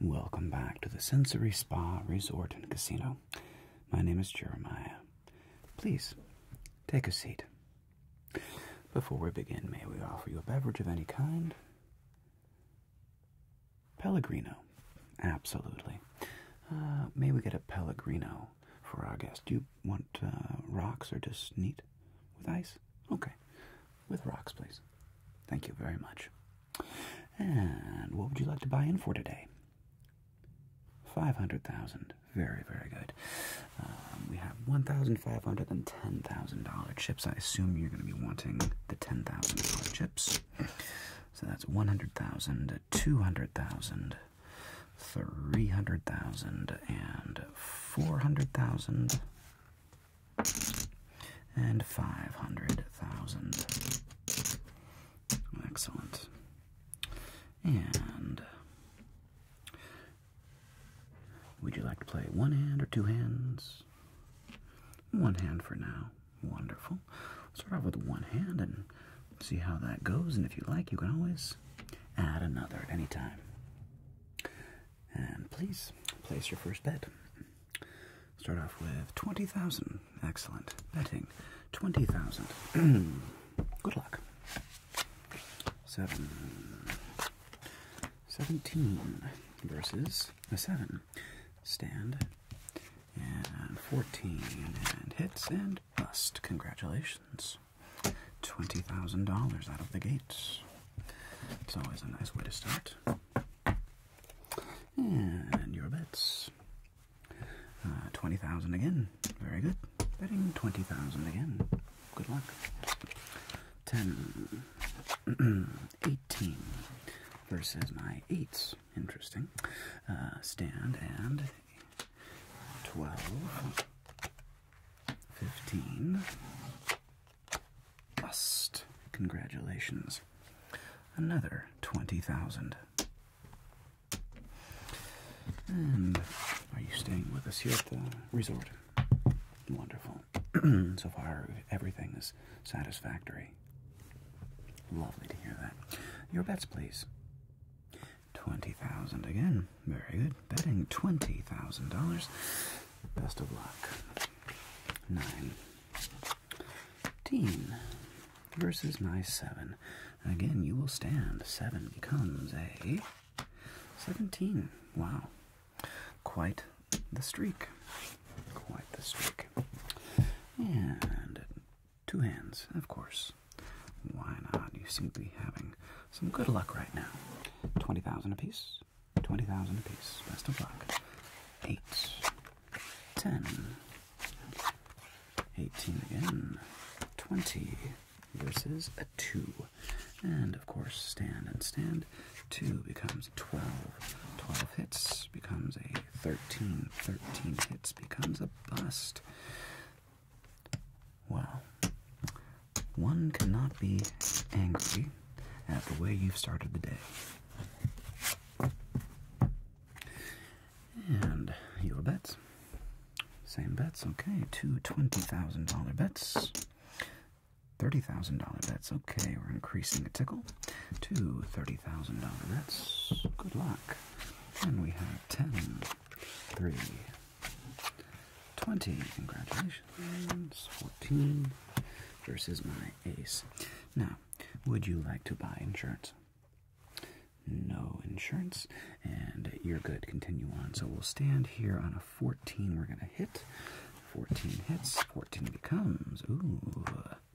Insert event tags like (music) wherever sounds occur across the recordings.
Welcome back to the Sensory Spa Resort and Casino. My name is Jeremiah. Please take a seat. Before we begin, may we offer you a beverage of any kind? Pellegrino, absolutely. Uh, may we get a Pellegrino for our guest. Do you want uh, rocks or just neat with ice? Okay, with rocks, please. Thank you very much. And what would you like to buy in for today? 500,000. Very, very good. Um, we have 1,500 and $10,000 chips. I assume you're going to be wanting the $10,000 chips. So that's 100,000, 200,000, three hundred thousand and four hundred thousand and five hundred thousand. Excellent. And would you like to play one hand or two hands? One hand for now. Wonderful. start off with one hand and see how that goes. And if you like, you can always add another at any time. And please place your first bet. Start off with 20,000. Excellent. Betting 20,000. (clears throat) Good luck. 7. 17 versus a 7. Stand. And 14. And hits and bust. Congratulations. $20,000 out of the gates. It's always a nice way to start. And your bets. Uh, 20,000 again. Very good. Betting 20,000 again. Good luck. 10, (clears throat) 18 versus my 8s. Interesting. Uh, stand and 12 15. Bust. Congratulations. Another 20,000. And are you staying with us here at the resort? Wonderful. (clears throat) so far, everything is satisfactory. Lovely to hear that. Your bets, please. 20,000 again. Very good. Betting $20,000. Best of luck. 19 versus my 7. Again, you will stand. 7 becomes a 17. Wow. Quite the streak. Quite the streak. And two hands, of course. Why not? You seem to be having some good luck right now. 20,000 apiece. 20,000 apiece. Best of luck. 8, 10, 18 again, 20 versus a 2. And of course, stand and stand. 2 becomes 12. 12 hits becomes a 13. 13 hits becomes a bust. Well, one cannot be angry at the way you've started the day. And your bets. Same bets, okay. two twenty dollars bets. $30,000 bets, okay. We're increasing the tickle. Two $30,000 bets. Good luck. And we have ten, three. 20, congratulations. 14 versus my ace. Now, would you like to buy insurance? No insurance, and you're good. Continue on. So we'll stand here on a 14. We're going to hit. 14 hits. 14 becomes, ooh,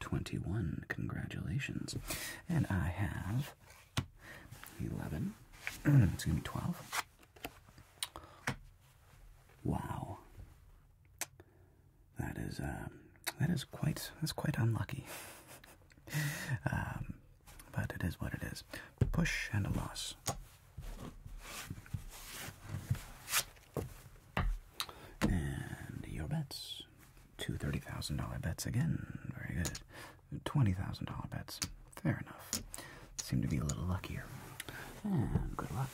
21. Congratulations. And I have 11. (clears throat) it's going to be 12. Wow. That is, um, that is quite, that's quite unlucky. (laughs) Um, but it is what it is. Push and a loss. And your bets. Two $30,000 bets again. Very good. $20,000 bets. Fair enough. Seem to be a little luckier. And good luck.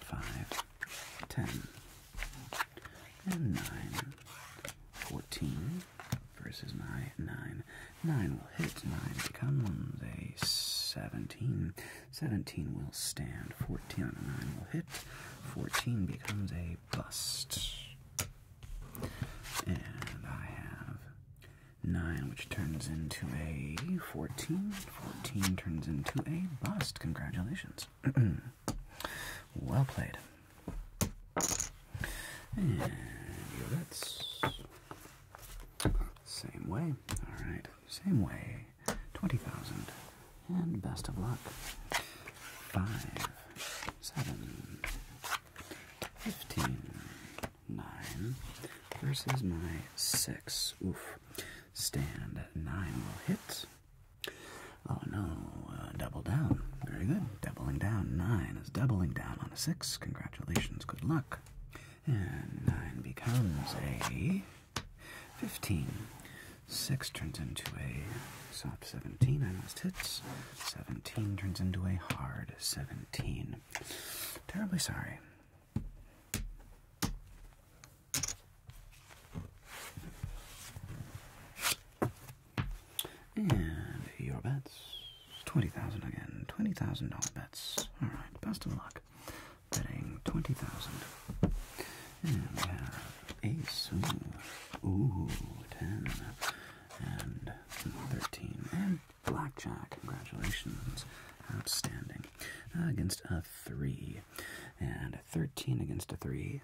5, 10, and 9, 14 versus 9, 9. 9 will hit, 9 becomes a 17. 17 will stand, 14 on 9 will hit, 14 becomes a bust. And I have 9, which turns into a 14. 14 turns into a bust. Congratulations. (clears throat) well played. And that's same way. Alright, same way. 20,000. And best of luck. Five, seven, 15, versus my 6. Oof. Stand 9 will hit. Oh no, uh, double down. Very good. Doubling down. 9 is doubling down on a 6. Congratulations. Good luck. And 9 becomes a 15. 6 turns into a soft 17. I must hit. 17 turns into a hard 17. Terribly sorry. And your bets. Twenty thousand again. Twenty thousand dollar bets. Alright, best of luck. Betting twenty thousand. And we have ace. Ooh, ooh ten and 13, and blackjack. Congratulations, outstanding. Uh, against a 3, and a 13 against a 3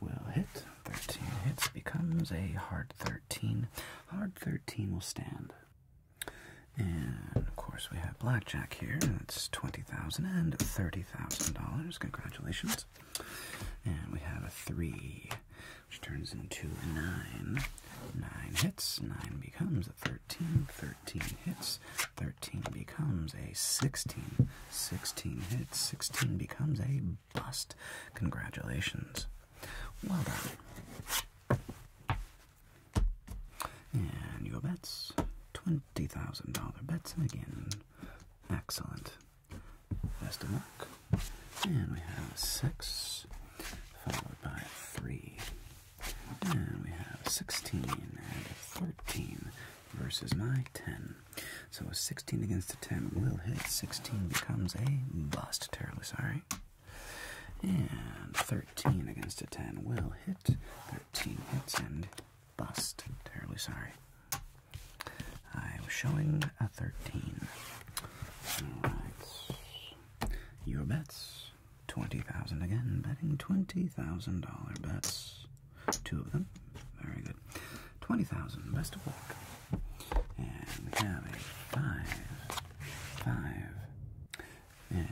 will hit. 13 hits becomes a hard 13. Hard 13 will stand. And of course, we have blackjack here. That's twenty thousand and thirty thousand dollars. Congratulations. And we have a three which turns into a 9. 9 hits, 9 becomes a 13, 13 hits, 13 becomes a 16, 16 hits, 16 becomes a bust. Congratulations. Well done. And your bets $20,000 bets, and again, excellent. That's the mark. And we have a 6, followed by a 3. And we have a 16 and a 13 versus my 10. So a 16 against a 10 will hit. 16 becomes a bust. Terribly sorry. And 13 against a 10 will hit. 13 hits and bust. Terribly sorry. I am showing a 13. Alright. Your bets. 20,000 again. Betting $20,000 bets. Two of them. Very good. 20,000. Best of luck. And we have a 5. 5. And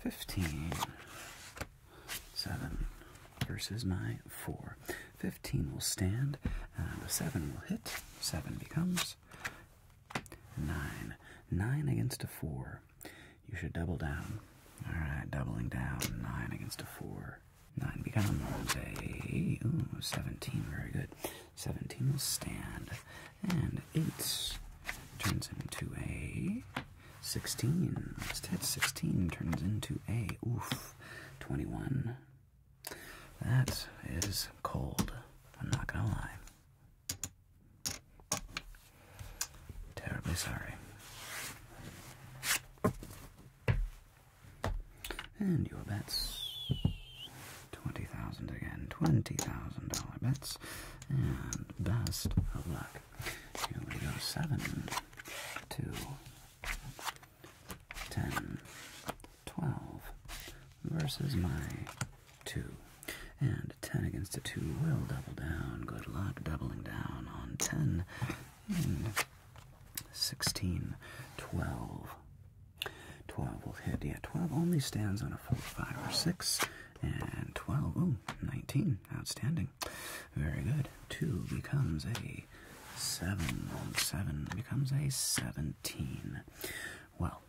15. 7 versus my 4. 15 will stand, and a 7 will hit. 7 becomes 9. 9 against a 4. You should double down. Alright, doubling down. 9 against a 4. 9 becomes a 17. Very good. 17 will stand, and 8 turns into a 16. Let's hit 16 turns into a oof. 21. That is cold. I'm not gonna lie. Terribly sorry. And your bets. Twenty thousand again. Twenty thousand dollar bets. And best of luck. Here we go. Seven, two, 10, 12 versus my 2. And 10 against a 2 will double down. Good luck doubling down on 10. Mm. 16, 12. 12 will hit. Yeah, 12 only stands on a 4, 5, or 6. And 12, ooh, 19. Outstanding. Very good. 2 becomes a seven on seven becomes a seventeen. Well,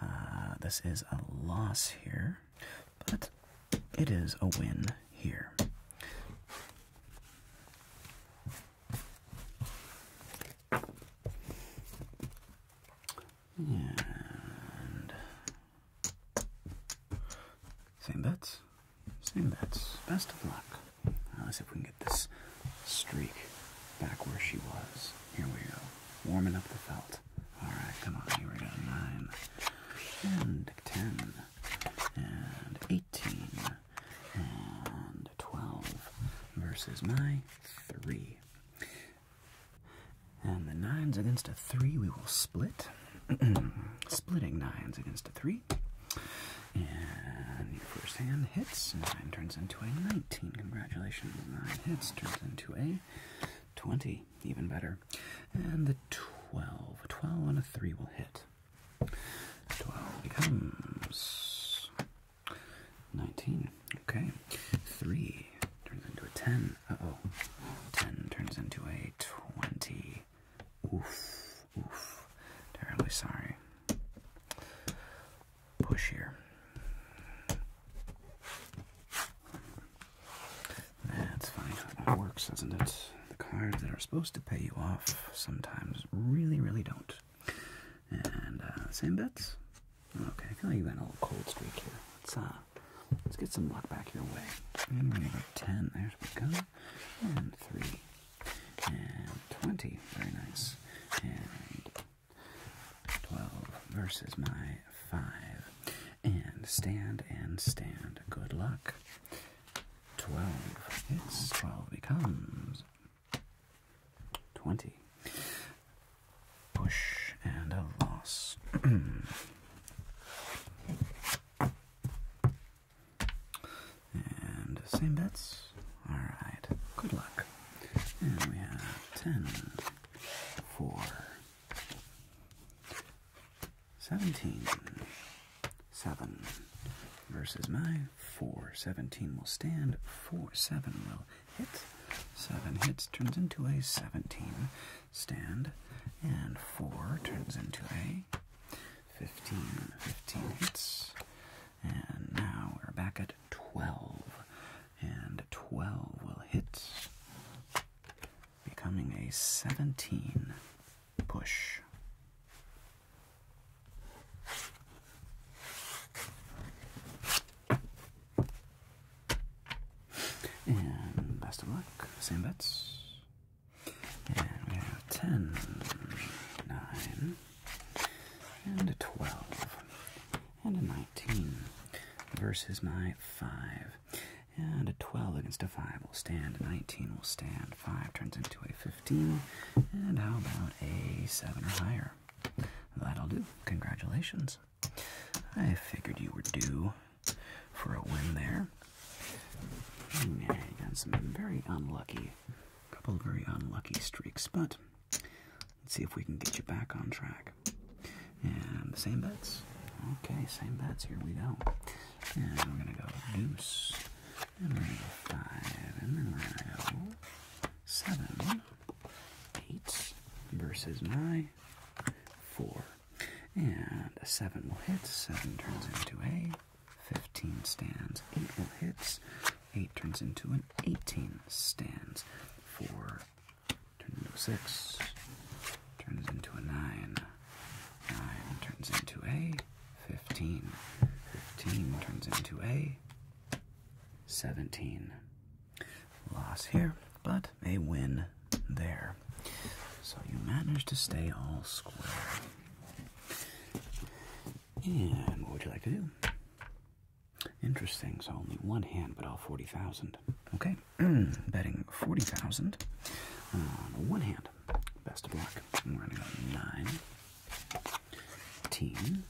uh, this is a loss here, but it is a win here. same bets. Seeing that's best of luck. Uh, let's see if we can get this streak back where she was. Here we go. Warming up the belt. Alright, come on. Here we go. 9 and 10 and 18 and 12 versus my 3. And the 9's against a 3 we will split. (clears throat) Splitting 9's against a 3. And your first hand hits. Nine turns into a 19. Congratulations. Nine hits turns into a 20. Even better. And the 12. 12 on a 3 will hit. 12 becomes 19. Okay. 3 turns into a 10. Uh oh. 10 turns into a 20. Oof, oof. Terribly sorry. Push here. That's fine. how that works, doesn't it? The cards that are supposed to pay you off sometimes really, really don't. And uh, same bets. Okay, I you got a little cold streak here. Let's uh, let's get some luck back your way. ten. There's we go. And three and 20. Very nice. And 12 versus my 5. And stand and stand. Good luck. 12. Yes, 12 becomes 20. Push and a loss. (clears throat) And same bets. Alright, good luck. And we have 10, 4, 17, 7 versus my 4. 17 will stand, 4, 7 will hit. 7 hits turns into a 17 stand, and 4 turns into a 15, hits. And now we're back at 12. And 12 will hit, becoming a 17 push. And best of luck, same bets. And we have 10, and a 12, and a 19 versus my 5. And a 12 against a 5 will stand, a 19 will stand, 5 turns into a 15, and how about a 7 or higher? That'll do. Congratulations. I figured you were due for a win there. Yeah, got some very unlucky a couple of very unlucky streaks, but let's see if we can get you back on track. And the same bets. Okay, same bets. Here we go. And we're gonna go deuce. And we're gonna five. And then we're gonna seven, eight versus my four. And a seven will hit. Seven turns into a 15 stands, 8 will hits, 8 turns into an 18 stands, 4 turns into a 6, turns into a 9, 9 turns into a 15, 15 turns into a 17. Loss here, but a win there. So you managed to stay all square. And what would you like to do? Interesting. So only one hand, but all 40,000. Okay. (clears throat) Betting 40,000 on one hand. Best of luck. We're going to go 9. Team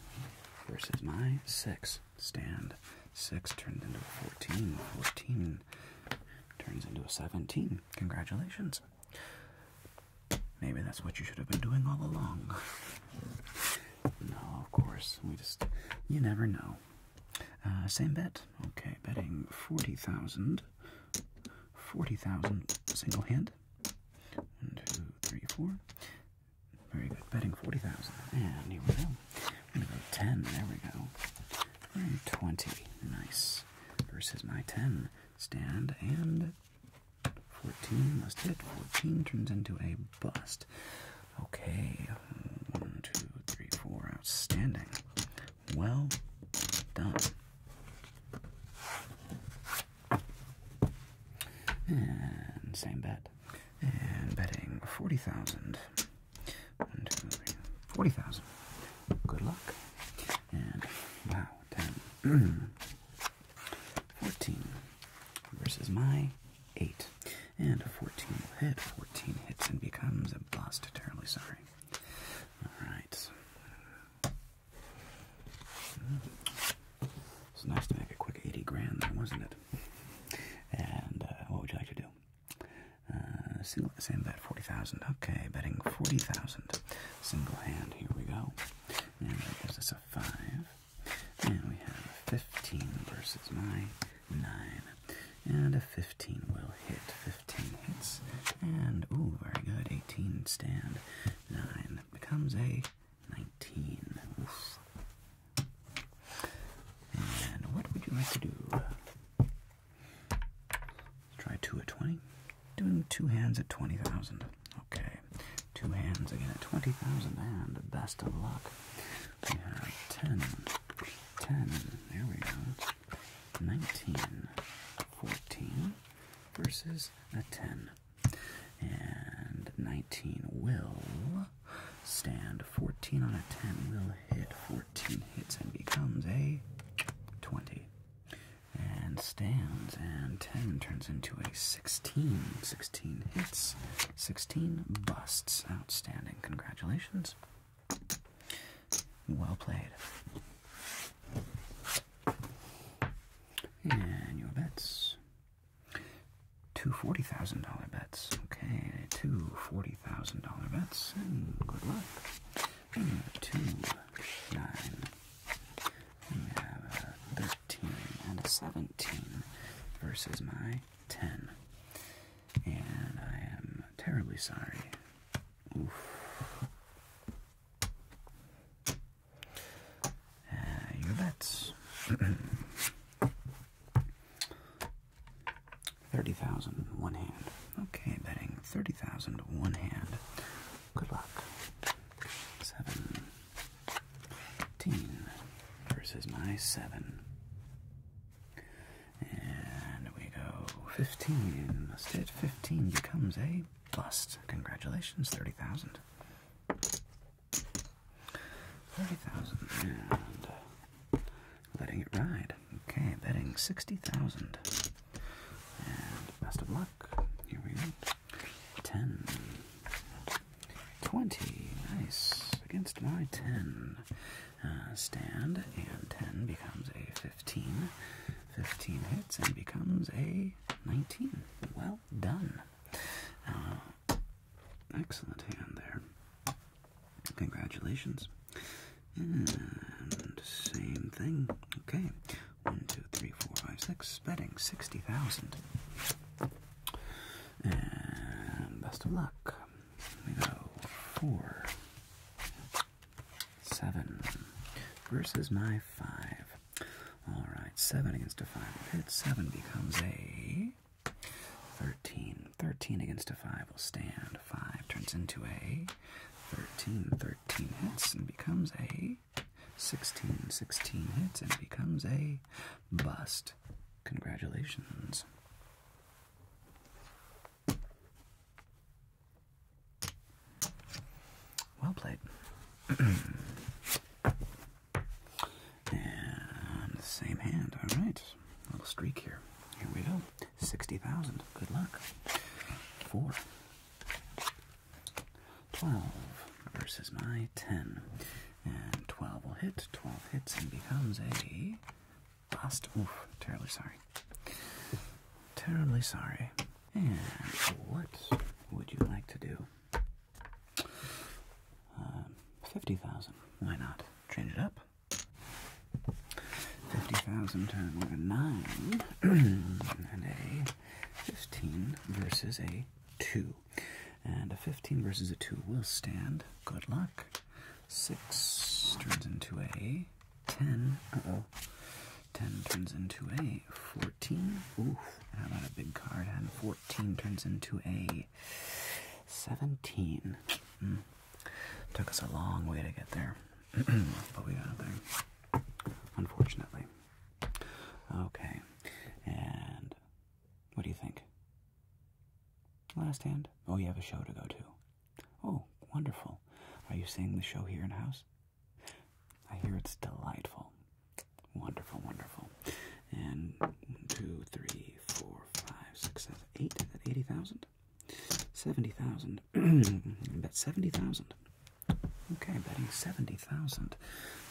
versus my 6. Stand. 6 turns into a 14. 14 turns into a 17. Congratulations. Maybe that's what you should have been doing all along. no, of course. We just, you never know. Uh, same bet. Okay, betting 40,000. 40,000 single hand. One, two, three, four. Very good. Betting 40,000. And here we go. 10. There we go. 20. Nice. Versus my 10. Stand and 14 must hit. 14 turns into a bust. Okay, one, two, three, four. Outstanding. Well done. And same bet. And betting 40,000. 1, 40,000. Good luck. And wow, 10, (clears throat) 14 versus my 8. And a 14 will hit. 14 hits and becomes a bust. Terribly sorry. Alright. It's nice to make a quick 80 grand there, wasn't it? And uh, what would you like to do? Uh, same bet, 40,000. Okay, betting 40,000. Single hand, here we go. And that gives us a 5. And we have a 15 versus my 9. And a 15 will hit. 15 hits. And, ooh, very good. 18 stand. 9 becomes a 19. And what would you like to do? Let's try 2 at 20. Doing two hands at 20,000. Okay, two hands again at 20,000, and best of luck. We have 10, 10, there we go, 19, 14 versus a 10. And 19 will stand 14 on a 10 will hit 14 hits and becomes a 20 and stands, and 10 turns into a 16. 16 hits, 16 busts. Outstanding. Congratulations. Well played. And your bets. Two dollars bets. Okay, two dollars bets, and good luck two, nine. And we have a 13 and a 17 versus my 10. And I am terribly sorry. Oof. Uh, your bets. (clears throat) 30,000, one hand. Okay, betting 30,000, one hand. Good luck. Seventeen versus my seven. And we go 15. Must hit 15 becomes a bust. Congratulations, 30,000. 30,000. And letting it ride. Okay, betting 60,000. And best of luck. Here we go. 10. 20. Nice. Against my 10. Uh, stand, and 10 becomes a 15. 15 hits and becomes a 19. Well done. Uh, excellent hand there. Congratulations. And same thing. Okay. One, two, three, four, five, six. Betting sixty thousand. And best of luck. We go four, seven versus my five. All right, seven against a five hit. Seven becomes a thirteen. Thirteen against a five will stand. Five turns into a thirteen. Thirteen hits and becomes a 16, 16 hits and becomes a bust. Congratulations. Well played. (clears throat) and the same hand. All right. Little streak here. Here we go. 60,000. Good luck. Four. 12 versus my 10. And 12 will hit, 12 hits, and becomes a bust. Oof, terribly sorry. Terribly sorry. And what would you like to do? Uh, 50,000. Why not? Change it up. 50,000 times 9 (clears throat) and a 15 versus a 2. And a 15 versus a 2 will stand. Good luck. 6 turns into a 10. Uh oh. 10 turns into a 14. Oof. How about a big card? And 14 turns into a 17. Hmm. Took us a long way to get there. (clears throat) but we got there. Unfortunately. Okay, and what do you think? Last hand? Oh, you have a show to go to. Oh, wonderful. Are you seeing the show here in house? I hear it's delightful. Wonderful, wonderful. And one, two, three, four, five, six, seven, eight. Is that (clears throat) I bet 70,000. Okay, betting 70,000.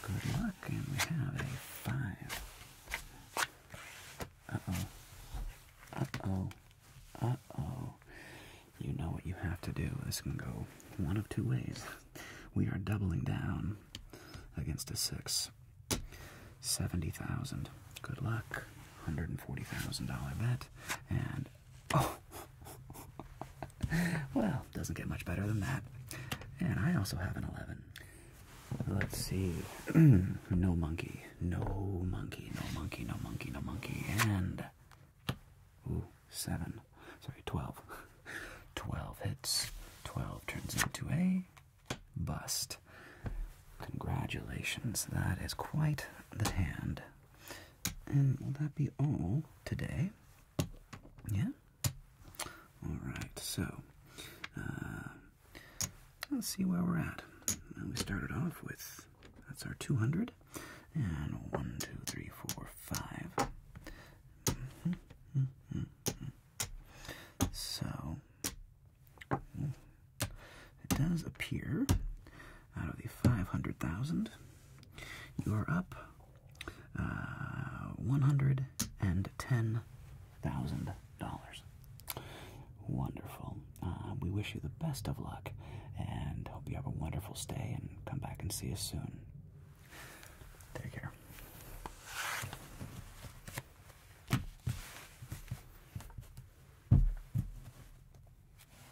Good luck, and we have a 5. Uh-oh. Uh-oh. Uh-oh. You know what you have to do. This can go one of two ways. We are doubling down against a 6. 70,000. Good luck. $140,000 bet. And Oh. (laughs) well, doesn't get much better than that. And I also have an 11. Let's see. (clears throat) no monkey. No monkey. No monkey. No monkey. No monkey. And. Ooh, 7. Sorry, 12. (laughs) 12 hits. 12 turns into a bust. Congratulations. That is quite the hand. And will that be all today? Yeah? Alright, so uh, let's see where we're at. We started off with that's our 200. And one, two, three, four, five. Mm -hmm, mm -hmm, So it does appear out of the 500,000, you are up uh, $110,000. Wonderful. Uh, we wish you the best of luck and hope you have a wonderful stay and come back and see us soon. Take care.